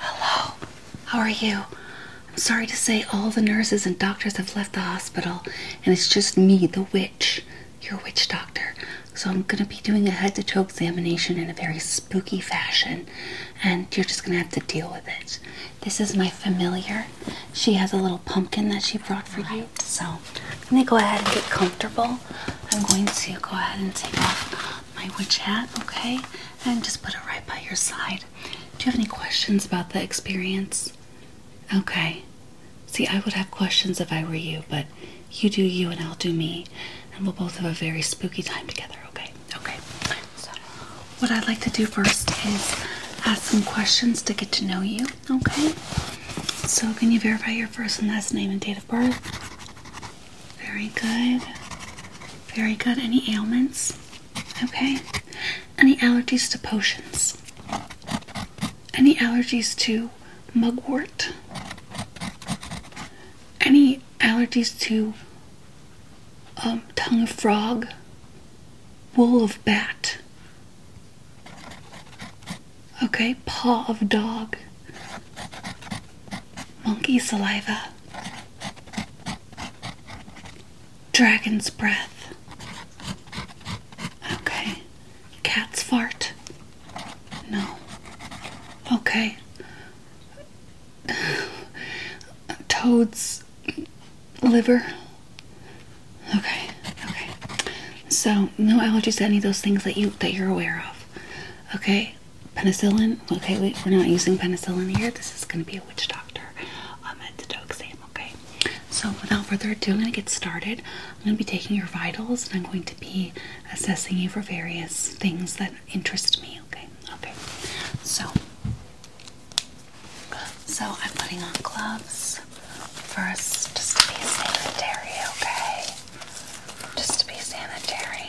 Hello, how are you? I'm sorry to say all the nurses and doctors have left the hospital, and it's just me, the witch, your witch doctor. So I'm gonna be doing a head to toe examination in a very spooky fashion, and you're just gonna have to deal with it. This is my familiar. She has a little pumpkin that she brought for you. So let me go ahead and get comfortable. I'm going to go ahead and take off my witch hat, okay? And just put it right by your side. Do you have any questions about the experience? Okay. See, I would have questions if I were you, but you do you and I'll do me. And we'll both have a very spooky time together, okay? Okay. So, what I'd like to do first is ask some questions to get to know you, okay? So, can you verify your first and last name and date of birth? Very good. Very good. Any ailments? Okay. Any allergies to potions? Any allergies to mugwort? Any allergies to um, tongue of frog? Wool of bat? Okay, paw of dog monkey saliva, dragon's breath, okay, cat's fart, no, okay, toad's liver, okay, okay, so no allergies to any of those things that you that you're aware of, okay. Penicillin. Okay, wait, we're not using penicillin here. This is going to be a witch doctor um, exam. Okay, so without further ado, I'm going to get started. I'm going to be taking your vitals and I'm going to be assessing you for various things that interest me. Okay, okay. So, so I'm putting on gloves first, just to be sanitary. Okay just to be sanitary.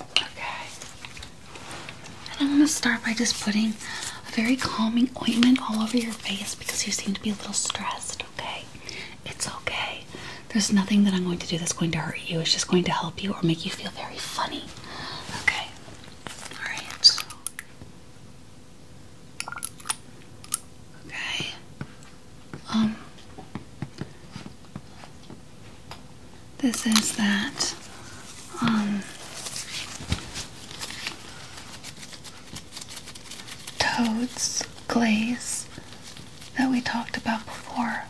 Okay. And I'm gonna start by just putting a very calming ointment all over your face because you seem to be a little stressed, okay? It's okay. There's nothing that I'm going to do that's going to hurt you. It's just going to help you or make you feel very funny. Okay. Alright. Okay. Um This is that um toads glaze that we talked about before.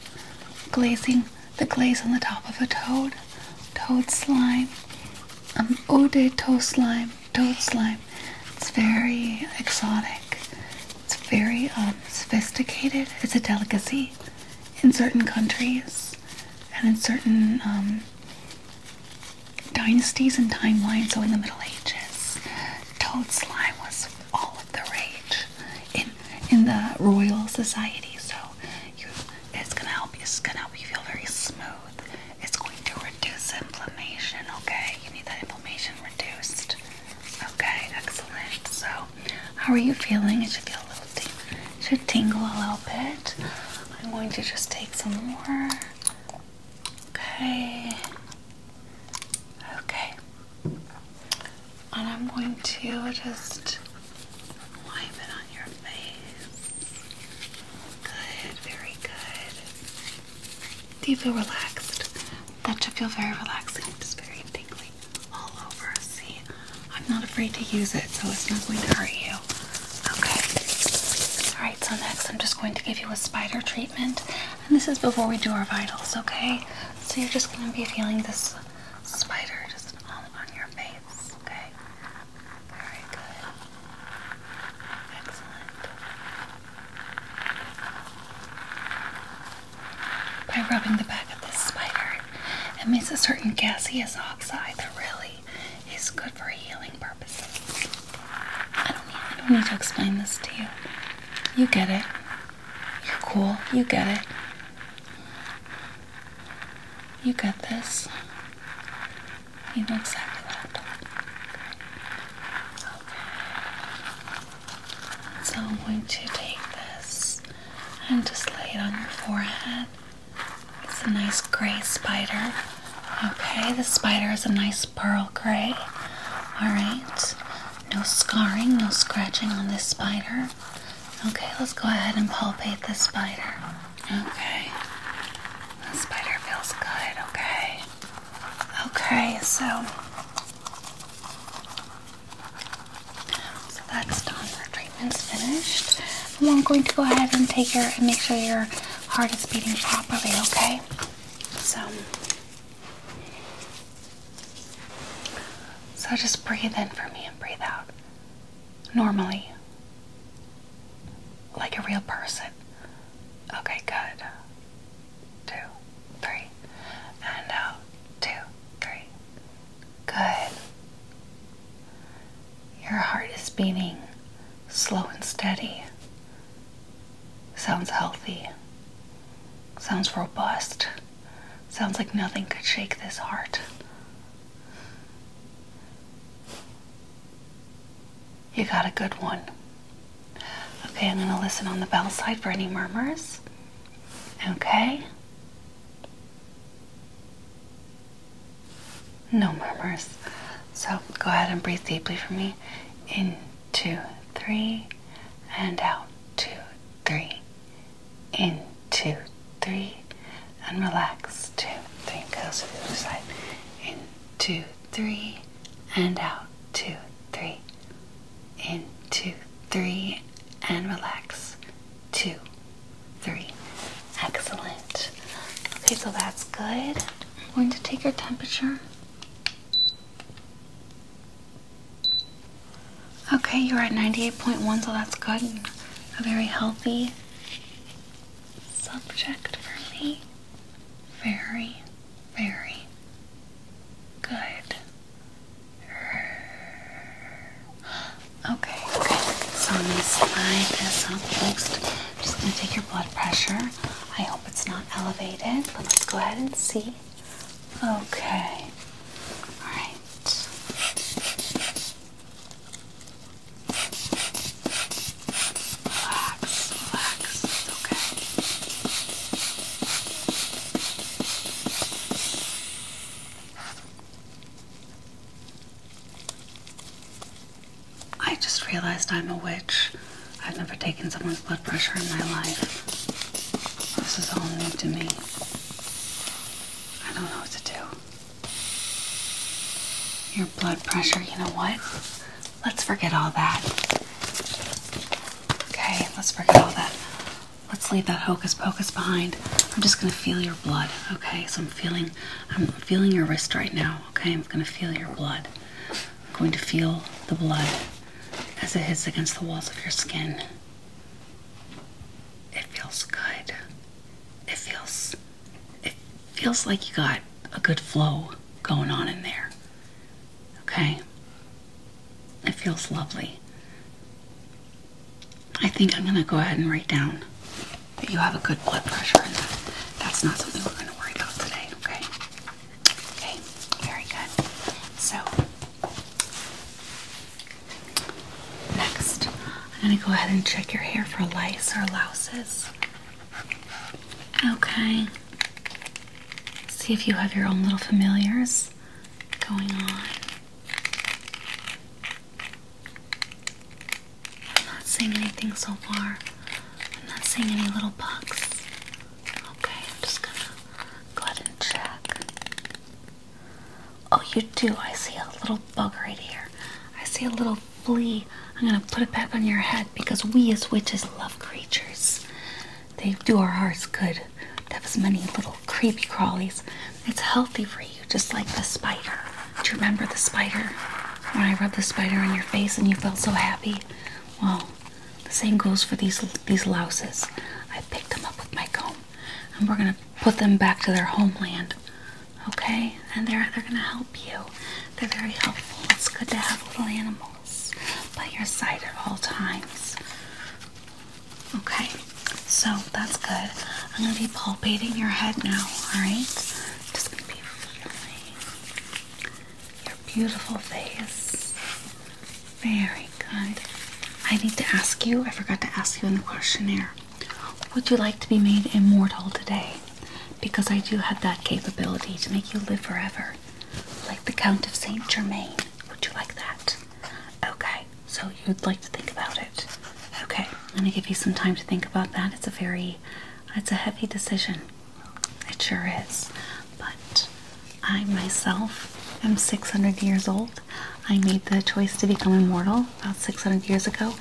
Glazing the glaze on the top of a toad, toad slime, an um, eau de toad slime, toad slime. It's very exotic. It's very um, sophisticated. It's a delicacy in certain countries and in certain um, dynasties and timelines. So in the Middle Ages, toad slime was all of the rage in in the royal society. So it's gonna help It's gonna help you feel very smooth it's going to reduce inflammation, okay? You need that inflammation reduced. Okay, excellent. So, how are you feeling? It should feel a little It should tingle a little bit. I'm going to just take some more. Okay. Okay. And I'm going to just wipe it on your face. Good, very good. Do you feel relaxed? That should feel very relaxing. Just very tingly all over. See, I'm not afraid to use it, so it's not going to hurt you. Okay. Alright, so next I'm just going to give you a spider treatment. And this is before we do our vitals, okay? So you're just going to be feeling this spider just all on your face, okay? Very good. By rubbing the back of this spider, it makes a certain gaseous oxide that really is good for healing purposes. I don't need, I don't need to explain this to you. You get it. You're cool. You get it. You get this. He looks at the laptop. Okay. So I'm going to take this and just lay it on your forehead. It's a nice gray spider. Okay, the spider is a nice pearl gray. Alright, no scarring, no scratching on this spider. Okay, let's go ahead and palpate this spider. Okay, the spider feels good, okay? Okay, so so that's done. Our treatment's finished. I'm going to go ahead and take your and make sure your heart is beating properly. Okay, so so just breathe in for me and breathe out normally, like a real person. Okay, good. Two, three, and out. Two, three. Good. Your heart is beating slow and steady. Sounds healthy. Sounds robust. Sounds like nothing could shake this heart. You got a good one. Okay, I'm going to listen on the bell side for any murmurs. Okay. No murmurs. So go ahead and breathe deeply for me. In two, three, and out. Two, three. In two, three, and relax. Two, three. Go to the other side. In two, three, and out, two, three, in, two, three, and relax, two, three. Excellent. Okay, so that's good. I'm going to take your temperature. Okay, you're at 98.1, so that's good. A very healthy subject for me very, very good. Okay, okay. So I'm gonna slide this up next. I'm just gonna take your blood pressure. I hope it's not elevated, let's go ahead and see. Okay. Alright. Relax, relax, it's okay. I just realized I'm a witch. I've never taken someone's blood pressure in my life. This is all new to me. I don't know what to do. Your blood pressure, you know what? Let's forget all that. Okay, let's forget all that. Let's leave that hocus pocus behind. I'm just gonna feel your blood, okay? So I'm feeling, I'm feeling your wrist right now, okay? I'm gonna feel your blood. I'm going to feel the blood as it hits against the walls of your skin. It feels good. It feels, it feels like you got a good flow going on in there. Okay? It feels lovely. I think I'm going to go ahead and write down that you have a good blood pressure and that that's not something we're going to worry about today, okay? Okay, very good. So, next, I'm going to go ahead and check your hair for lice or louses. Okay. See if you have your own little familiars going on. I'm not seeing anything so far. I'm not seeing any little bugs. Okay, I'm just gonna go ahead and check. Oh, you do. I see a little bug right here. I see a little little I'm gonna put it back on your head because we as witches love creatures. They do our hearts good to have as many little creepy crawlies. It's healthy for you, just like the spider. Do you remember the spider? When I rubbed the spider on your face and you felt so happy? Well, the same goes for these these louses. I picked them up with my comb, and we're gonna put them back to their homeland. Okay, and they're they're gonna help you. They're very helpful. It's good to have little animals by your side at all times. Okay, so that's good. I'm going to be palpating your head now, alright? your beautiful face. Very good. I need to ask you, I forgot to ask you in the questionnaire. Would you like to be made immortal today? because I do have that capability to make you live forever, like the Count of Saint Germain. Would you like that? Okay, so you'd like to think about it. Okay, I'm gonna give you some time to think about that. It's a very, it's a heavy decision. It sure is. But I myself am 600 years old. I made the choice to become immortal about 600 years ago.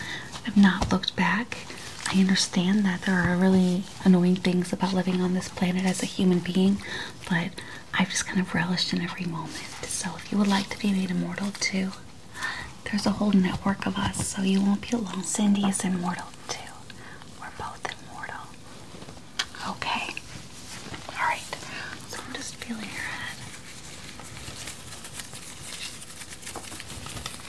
I've not looked back. I understand that there are really annoying things about living on this planet as a human being, but I've just kind of relished in every moment. So if you would like to be made immortal too, there's a whole network of us, so you won't be alone. Cindy is immortal too. We're both immortal. Okay. Alright. So I'm just feeling your head.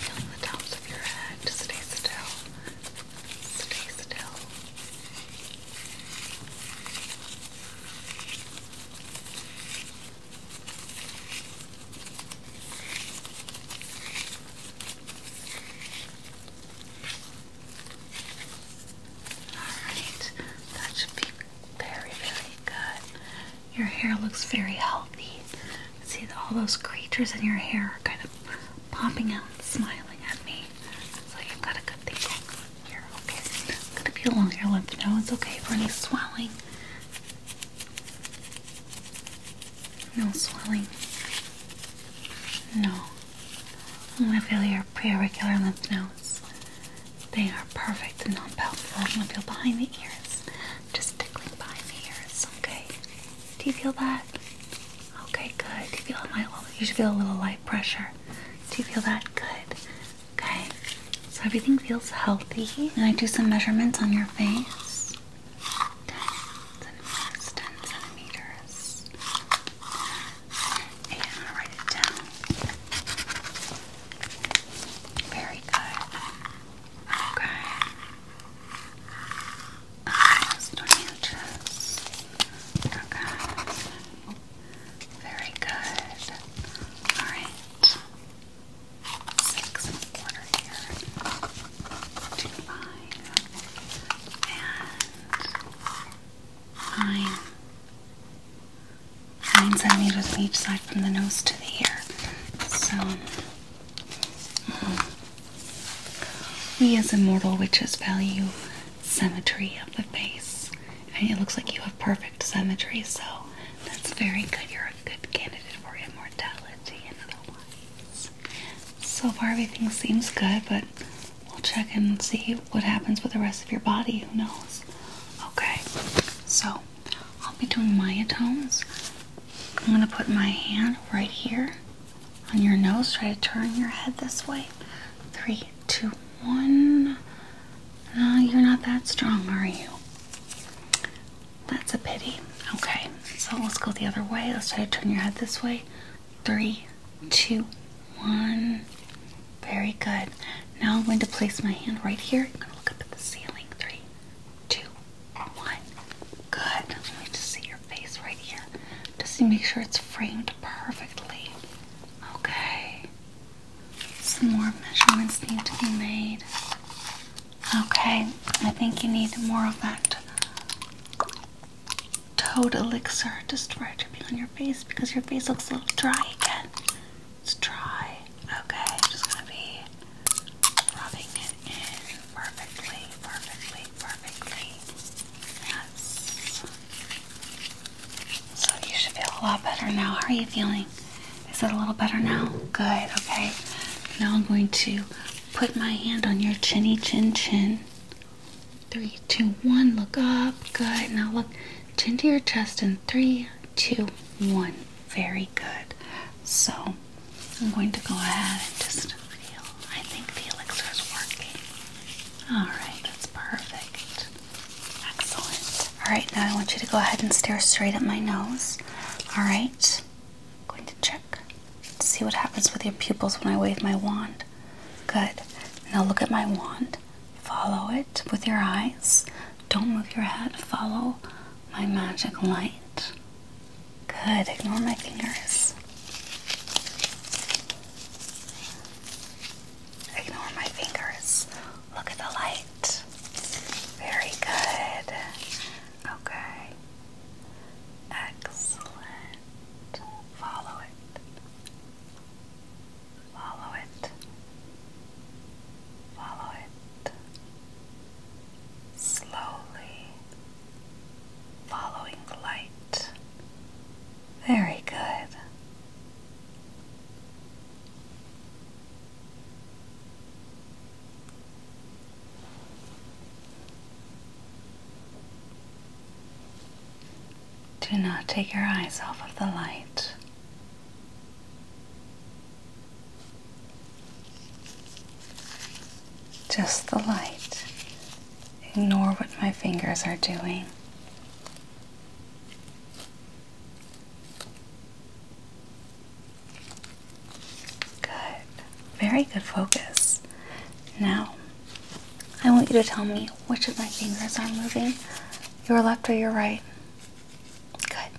Feeling the tops of your head stay still. Stay still. Alright, that should be very, very good. Your hair looks very healthy. See, all those creatures in your hair are kind of popping out and smiling at me. So you've got a good thing going on here. Okay, I'm gonna feel along your lymph nodes. Okay, for any swelling. No swelling. No. i gonna feel your preauricular lymph nodes. They are perfect and non painful I'm gonna feel behind the ears. Just tickling behind the ears, okay? Do you feel that? Okay, good. Do you feel my? You should feel a little light pressure. Do you feel that? Good. Okay. So everything feels healthy. Can I do some measurements on your face. Ten centimeters. Ten centimeters. And I'll write it down. Very good. Okay. Almost on Very good. Alright. Six and a quarter here. Two five. And nine. Nine centimeters each side from the nose to the ear. So we mm. as immortal witches value symmetry of the face. And it looks like you have perfect symmetry, so that's very good. You're a good candidate for immortality otherwise. So far, everything seems good, but we'll check and see what happens with the rest of your body. Who knows? Okay, so I'll be doing myotones. I'm gonna put my hand right here on your nose. Try to turn your head this way. Three, two, one. No, you're not that strong, are you? That's a pity. Okay, so let's go the other way. Let's try to turn your head this way. Three, two, one. Very good. Now I'm going to place my hand right here. I'm going to look up at the ceiling. Three, two, one. Good. Let me just see your face right here. Just to make sure it's framed perfectly. Okay. Some more measurements need to be made. Okay, I think you need more of that toad elixir to start dripping on your face because your face looks a little dry again. It's dry. Okay, I'm just gonna be rubbing it in perfectly, perfectly, perfectly. Yes. So you should feel a lot better now. How are you feeling? Is it a little better now? Good, okay. Now I'm going to put my hand on your chinny chin chin. Three, two, one. Look up. Good. Now look chin to your chest in three, two, one. Very good. So I'm going to go ahead and just feel. I think the elixir is working. All right, that's perfect. Excellent. All right, now I want you to go ahead and stare straight at my nose. All right, I'm going to check see what happens with your pupils when I wave my wand. Good. Now look at my wand. Follow it with your eyes. Don't move your head. Follow my magic light. Good, ignore my fingers. Ignore my fingers. Look at the light. Very good. Okay. Excellent. Follow it. Follow it. Follow it slowly, following the light. Very good. Do not take your eyes off of the light just the light. Ignore what my fingers are doing. Good. Very good focus. Now, I want you to tell me which of my fingers are moving, your left or your right. Good.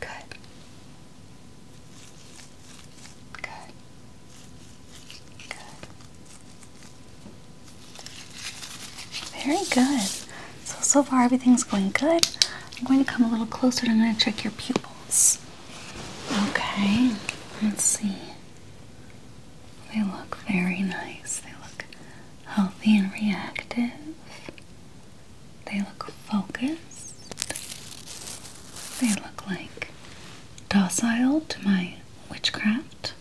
Good. Good. Good. Very good. So, so far everything's going good. I'm going to come a little closer and I'm going to check your pupils. Okay. Let's see. They look very nice. They look healthy and reactive. They look focused. They look like docile to my witchcraft,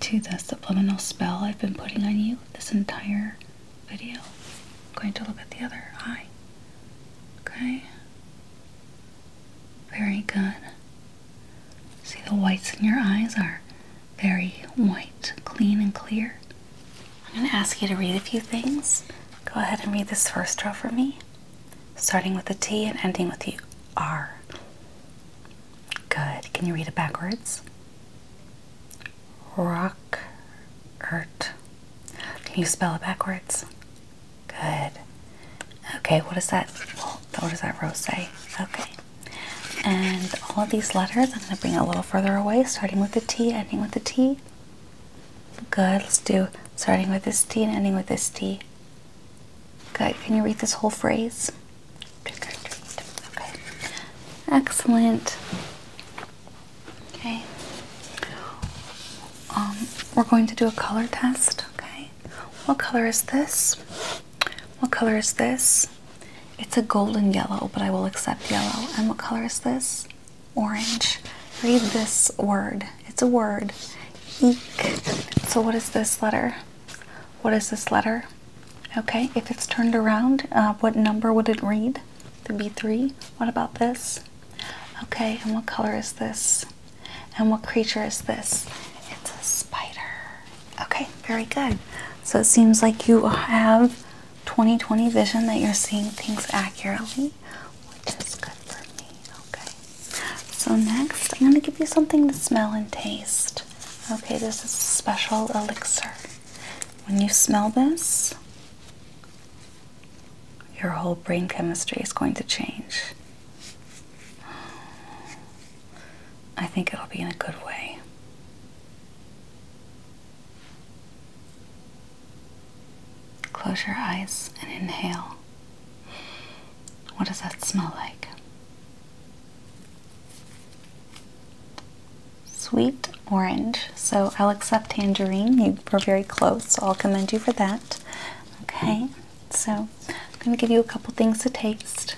to the subliminal spell I've been putting on you this entire video. I'm going to look at the other eye. Okay. Very good. See, the whites in your eyes are very white, clean, and clear. I'm going to ask you to read a few things Go ahead and read this first row for me, starting with the T and ending with the R. Good. Can you read it backwards? Rock, ert. Can you spell it backwards? Good. Okay, what does that, what does that row say? Okay. And all of these letters, I'm going to bring it a little further away, starting with the T, ending with the T. Good, let's do starting with this T and ending with this T. Good, can you read this whole phrase? Okay, excellent. Okay, um, we're going to do a color test. Okay, what color is this? What color is this? It's a golden yellow, but I will accept yellow. And what color is this? orange. Read this word. It's a word. Eek. So, what is this letter? What is this letter? Okay, if it's turned around, uh, what number would it read? The B3. What about this? Okay, and what color is this? And what creature is this? It's a spider. Okay, very good. So it seems like you have 20/20 vision that you're seeing things accurately which is good for me. Okay. So next, I'm gonna give you something to smell and taste. Okay, this is a special elixir. When you smell this, your whole brain chemistry is going to change. I think it'll be in a good way. Close your eyes and inhale. What does that smell like? Sweet orange. So I'll accept tangerine. You were very close, so I'll commend you for that. Okay, so I'm going to give you a couple things to taste.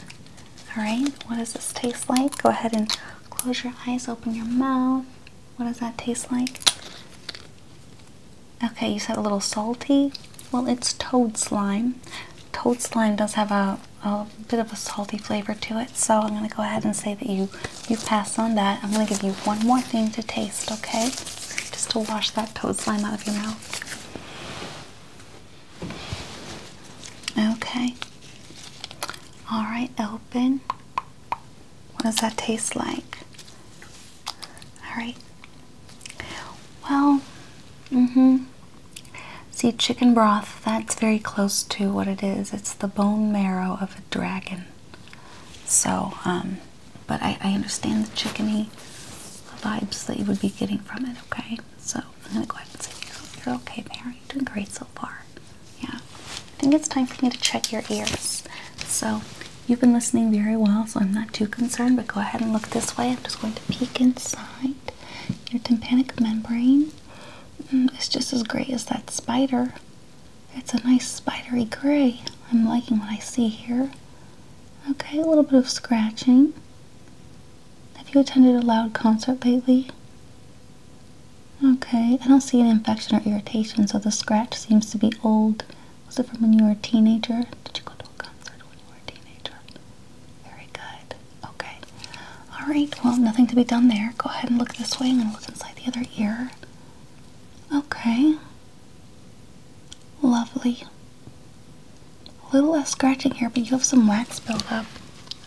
All right, what does this taste like? Go ahead and close your eyes, open your mouth. What does that taste like? Okay, you said a little salty. Well, it's toad slime. Toad slime does have a, a bit of a salty flavor to it, so I'm going to go ahead and say that you you pass on that. I'm going to give you one more thing to taste, okay? Just to wash that toad slime out of your mouth. Okay. All right, open. What does that taste like? Alright. Well, mm hmm. See, chicken broth, that's very close to what it is. It's the bone marrow of a dragon. So, um, but I, I understand the chickeny vibes that you would be getting from it, okay? So, I'm gonna go ahead and say you're, you're okay, Mary. You're doing great so far. Yeah. I think it's time for me to check your ears. So you've been listening very well, so I'm not too concerned, but go ahead and look this way. I'm just going to peek inside your tympanic membrane. Mm, it's just as gray as that spider. It's a nice spidery gray. I'm liking what I see here. Okay, a little bit of scratching. Have you attended a loud concert lately? Okay, I don't see an infection or irritation, so the scratch seems to be old was it from when you were a teenager? Did you go to a concert when you were a teenager? Very good. Okay. All right. Well, nothing to be done there. Go ahead and look this way. and look inside the other ear. Okay. Lovely. A little less scratching here, but you have some wax buildup.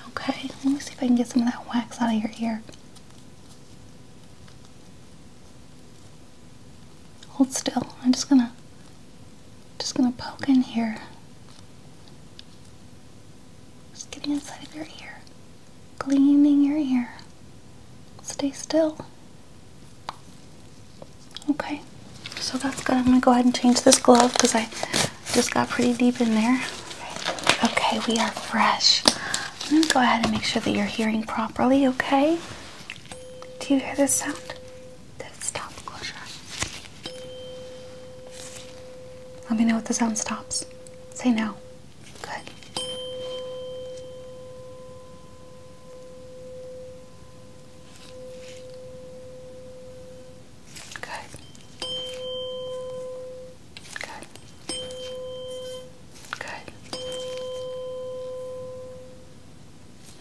Okay. Let me see if I can get some of that wax out of your ear. Hold still. I'm just gonna just gonna poke in here. Just getting inside of your ear. Cleaning your ear. Stay still. Okay. So that's good. I'm gonna go ahead and change this glove because I just got pretty deep in there. Okay, we are fresh. I'm gonna go ahead and make sure that you're hearing properly, okay? Do you hear this sound? That stop closure. Let me know if the sound stops. Say no. Good. Good. Good. Good.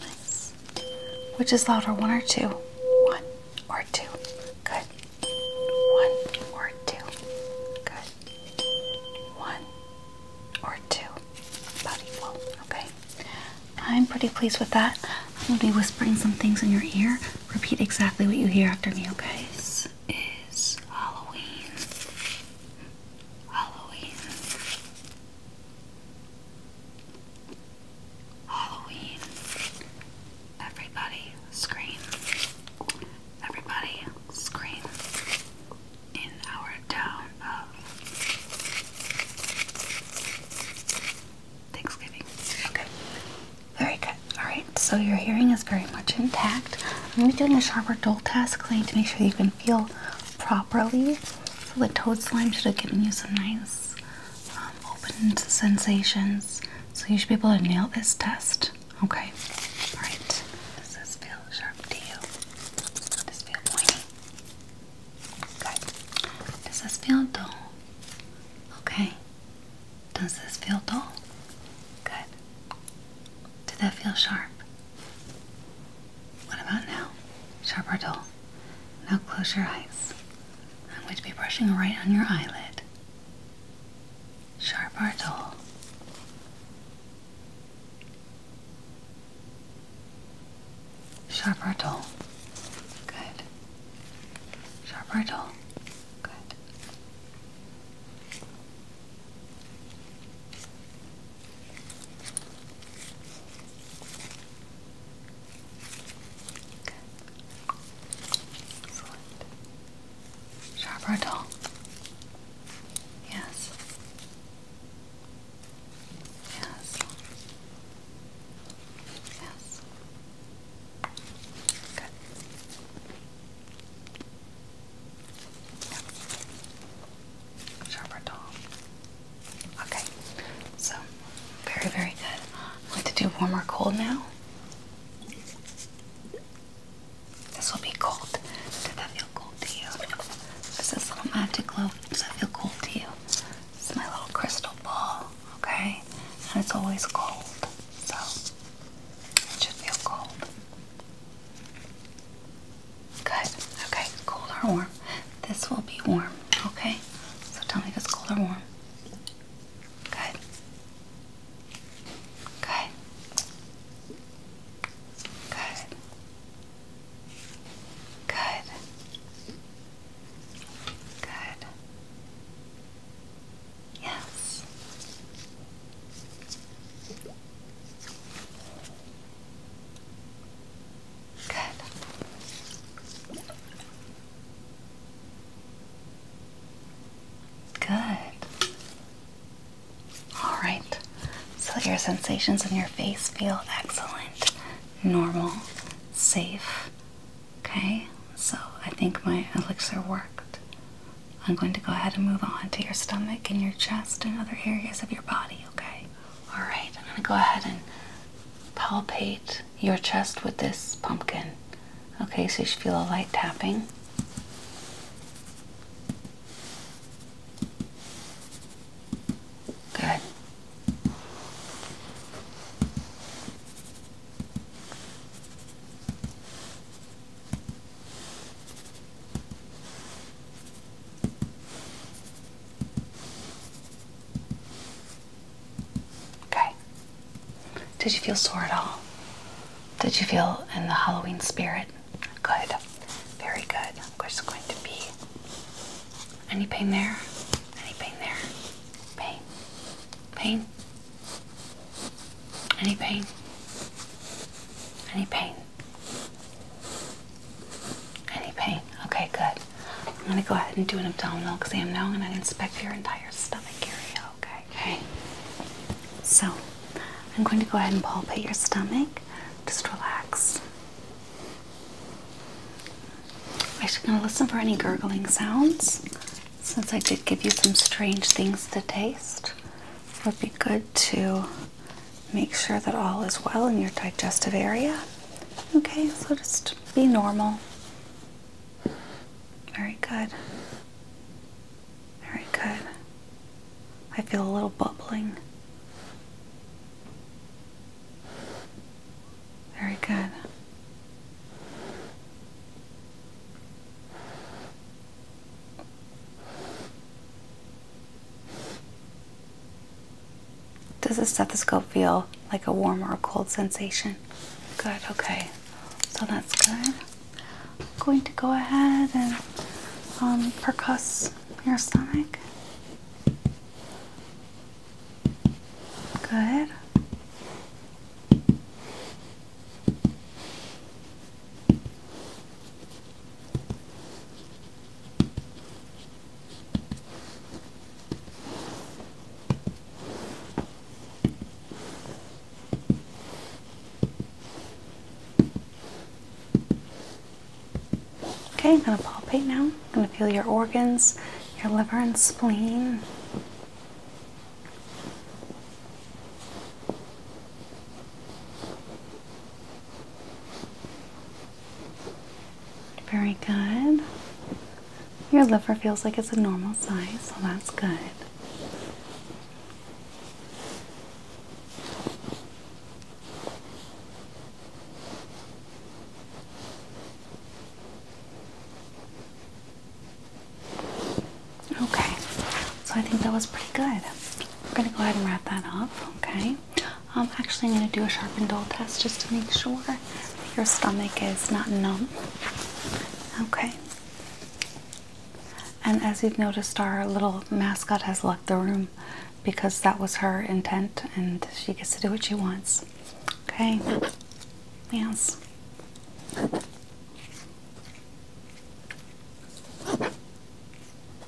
Nice. Which is louder, one or two? One or two. Good. One or two. Good. One or two. About equal. Okay. I'm pretty pleased with that. I'm going to be whispering some things in your ear. Repeat exactly what you hear after me, okay? This is Halloween. Halloween. Halloween. Everybody scream. Everybody scream. In our town of Thanksgiving. Okay. Very good. Alright, so your hearing is very much intact. I'm going to be doing a sharper dull task clean to make sure you can feel properly. So the toad slime should have given you some nice um, open sensations. So you should be able to nail this test. Okay. All right. Does this feel sharp to you? Does this feel pointy? Good. Does this feel dull? Okay. Does this feel dull? Good. Did that feel sharp? What about now? Sharp or dull? Now close your eyes. I'm going to be brushing right on your eyelid. Sharp or dull? Sharp or dull? Good. Sharp or dull? Good. Excellent. Sharp or Yes. Yes. Yes. Good. Gerberdol. Okay, so very, very good. I'm to do warm or cold now. This will be cold. Does that feel cold to you? This is little magic globe. Does that feel cold to you? This my little crystal ball, okay? And it's always cold, so it should feel cold. Good. Okay, cold or warm? This will be warm. Okay. So tell me if it's cold or warm. Good. Good. Good. Good. Good. Yes. Good. Good. All right. So your sensations in your face feel excellent, normal, safe. Okay? So I think my elixir worked. I'm going to go ahead and move on to your stomach and your chest and other areas of your body, okay? All right, I'm gonna go ahead and palpate your chest with this pumpkin. Okay, so you should feel a light tapping. Good. Okay. Did you feel sore at all? Did you feel in the Halloween spirit? Good. Very good. I'm just going to be. Any pain there? Any pain there? Pain? Pain? Any pain? Any pain? Any pain? Okay, good. I'm gonna go ahead and do an abdominal exam now. I'm gonna inspect your entire stomach area, okay? Okay. So I'm going to go ahead and palpate your stomach. Just relax. I'm just gonna listen for any gurgling sounds. Since I did give you some strange things to taste, it would be good to make sure that all is well in your digestive area. Okay, so just be normal. Very good. Very good. I feel a little bubbling. Very good. Does the stethoscope feel like a warm or a cold sensation? Good, okay. So that's good. I'm going to go ahead and um, percuss your stomach. Good. Okay, I'm going to palpate now. I'm going to feel your organs, your liver and spleen. Very good. Your liver feels like it's a normal size, so that's good. Okay, so I think that was pretty good. We're going to go ahead and wrap that up, okay? Um, I'm actually going to do a sharp and dull test just to make sure your stomach is not numb. Okay. And as you've noticed, our little mascot has left the room because that was her intent and she gets to do what she wants. Okay. Yes.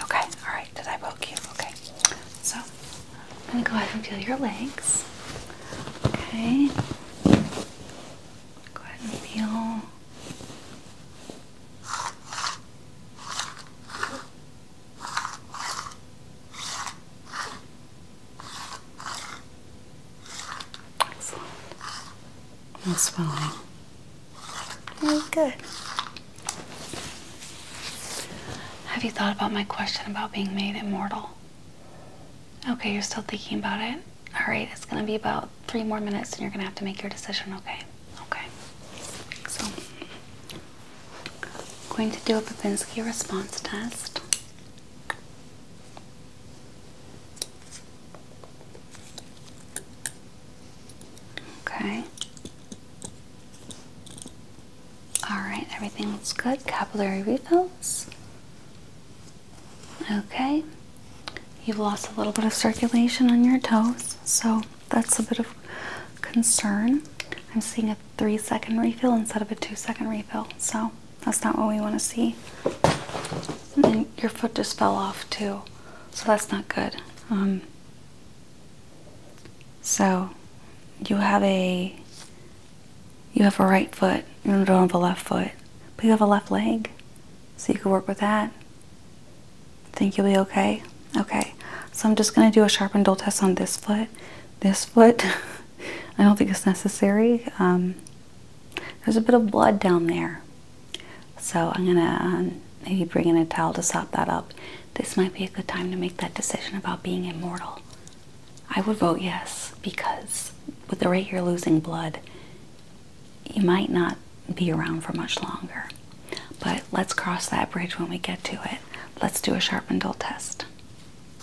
Okay, alright, did I poke you? Okay. So I'm gonna go ahead and feel your legs. Okay. Go ahead and feel Excellent. No swelling. Very good. Have you thought about my question about being made immortal? Okay, you're still thinking about it? Alright, it's gonna be about three more minutes and you're gonna have to make your decision, okay? Okay. So, I'm going to do a Babinski response test. Okay. All right, everything looks good. Capillary refills. Okay, you've lost a little bit of circulation on your toes, so that's a bit of concern. I'm seeing a three second refill instead of a two second refill, so that's not what we want to see. And your foot just fell off, too, so that's not good. Um, so you have a you have a right foot, you don't have a left foot, but you have a left leg. So you could work with that. Think you'll be okay? Okay. So I'm just gonna do a sharp and dull test on this foot. This foot, I don't think it's necessary. Um, there's a bit of blood down there. So I'm gonna um, maybe bring in a towel to sop that up. This might be a good time to make that decision about being immortal. I would vote yes because with the rate you're losing blood, you might not be around for much longer. But let's cross that bridge when we get to it. Let's do a sharp and dull test.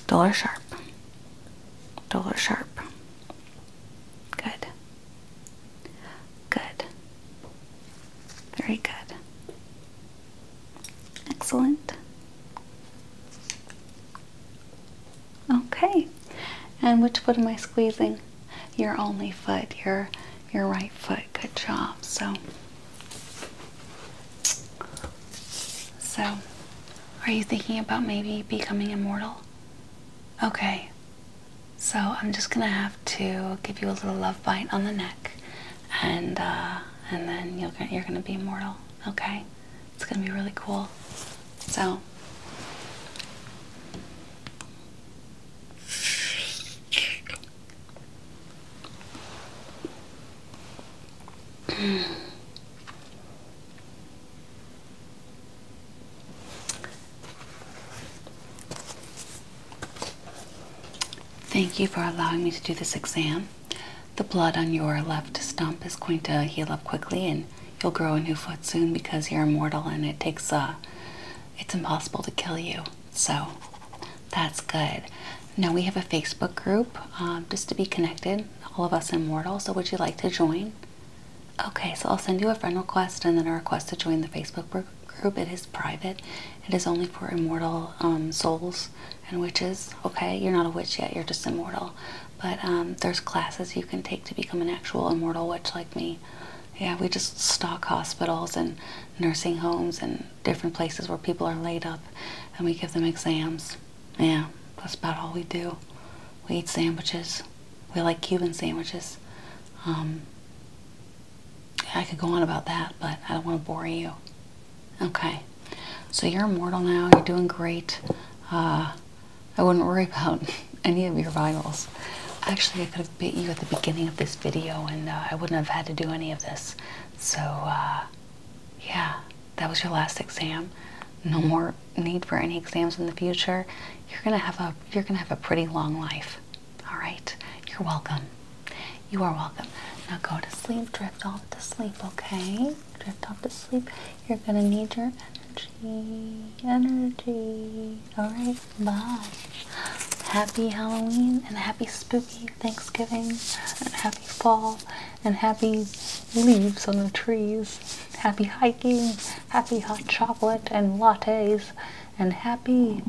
Dull or sharp? Dull or sharp? Good. Good. Very good. Excellent. Okay. And which foot am I squeezing? Your only foot, your your right foot. Good job. So So are you thinking about maybe becoming immortal? Okay. So I'm just going to have to give you a little love bite on the neck, and uh, and then you're you're gonna be immortal. Okay, it's gonna be really cool. So. Thank you for allowing me to do this exam. The blood on your left stump is going to heal up quickly and you'll grow a new foot soon because you're immortal and it takes a, uh, it's impossible to kill you. So that's good. Now we have a Facebook group um, just to be connected, all of us immortal. So would you like to join? Okay, so I'll send you a friend request and then a request to join the Facebook group group. It is private. It is only for immortal um, souls and witches. Okay, you're not a witch yet. You're just immortal. But um, there's classes you can take to become an actual immortal witch like me. Yeah, we just stock hospitals and nursing homes and different places where people are laid up, and we give them exams. Yeah, that's about all we do. We eat sandwiches. We like Cuban sandwiches. Um, I could go on about that, but I don't want to bore you. Okay, so you're immortal now. You're doing great. Uh, I wouldn't worry about any of your vitals. Actually, I could have bit you at the beginning of this video, and uh, I wouldn't have had to do any of this. So, uh, yeah, that was your last exam. No mm-hmm. more need for any exams in the future. You're gonna have a you're gonna have a pretty long life. All right, you're welcome. You are welcome. Now go to sleep, drift off to sleep, okay? Drift off to sleep. You're gonna need your energy, energy. All right, bye. Happy Halloween and happy spooky Thanksgiving and happy fall and happy leaves on the trees. Happy hiking, happy hot chocolate and lattes, and happy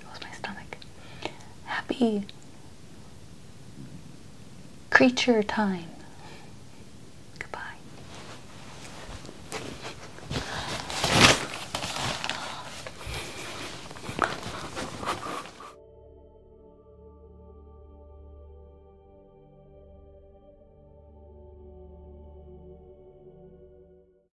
that was my stomach. Happy creature time. Goodbye.